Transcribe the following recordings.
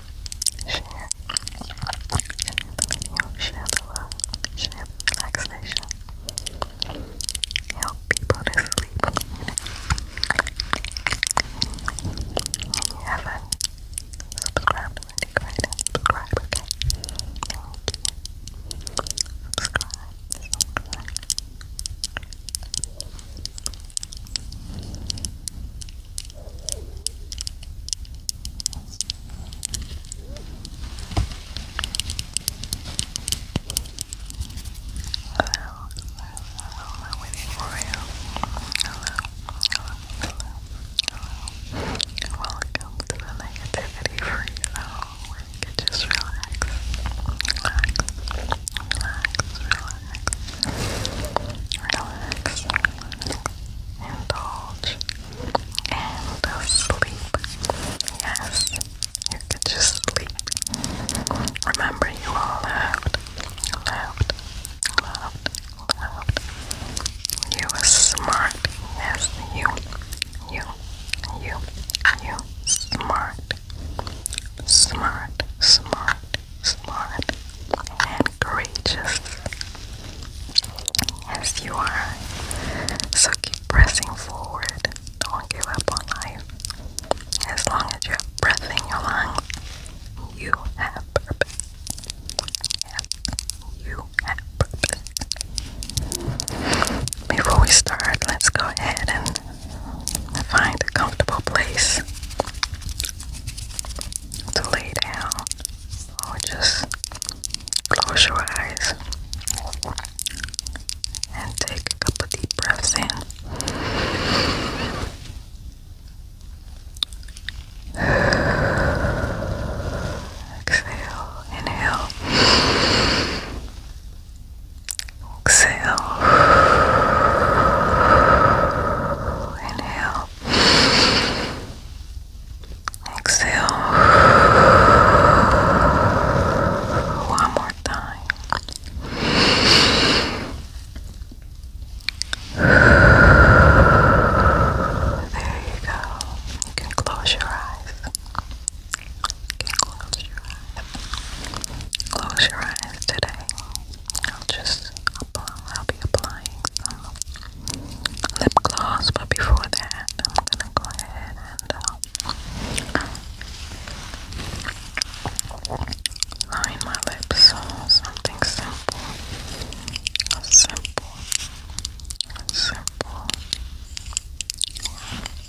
share, share share the love, relaxation. Help people to sleep. haven't subscribed to subscribe, okay? Thank you. subscribe hello, hello, I'm waiting for you. Hello, hello, hello, Welcome to the negativity free zone oh, just relax relax, indulge, and uh, sleep. Yes, you could just sleep. Remember, you are loved, loved, loved, loved. You are smart. Yes, you, you, you, you, smart smart, smart, smart, and courageous. Yes, you are. So keep pressing forward. Don't give up on life. As long as you have breath in your lungs, you have purpose. you have purpose. Before we start, let's go ahead and Find a comfortable place to lay down or just close your eyes and take a couple deep breaths in. Exhale, inhale. Exhale. Inhale. Exhale. One more time. There you go. You can close your eyes close your eyes. Close your eyes today. I'll just I'll be applying lip gloss, but before that, I'm gonna go ahead and uh, line my lips. So something simple, simple, simple.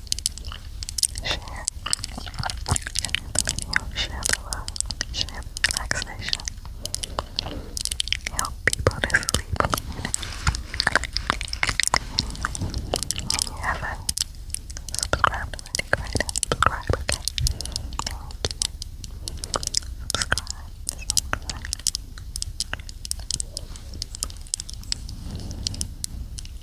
Share. Share the video. Share the love. Share relaxation. Help people to sleep. If you haven't subscribed already, subscribe, okay? Thank you. Subscribe.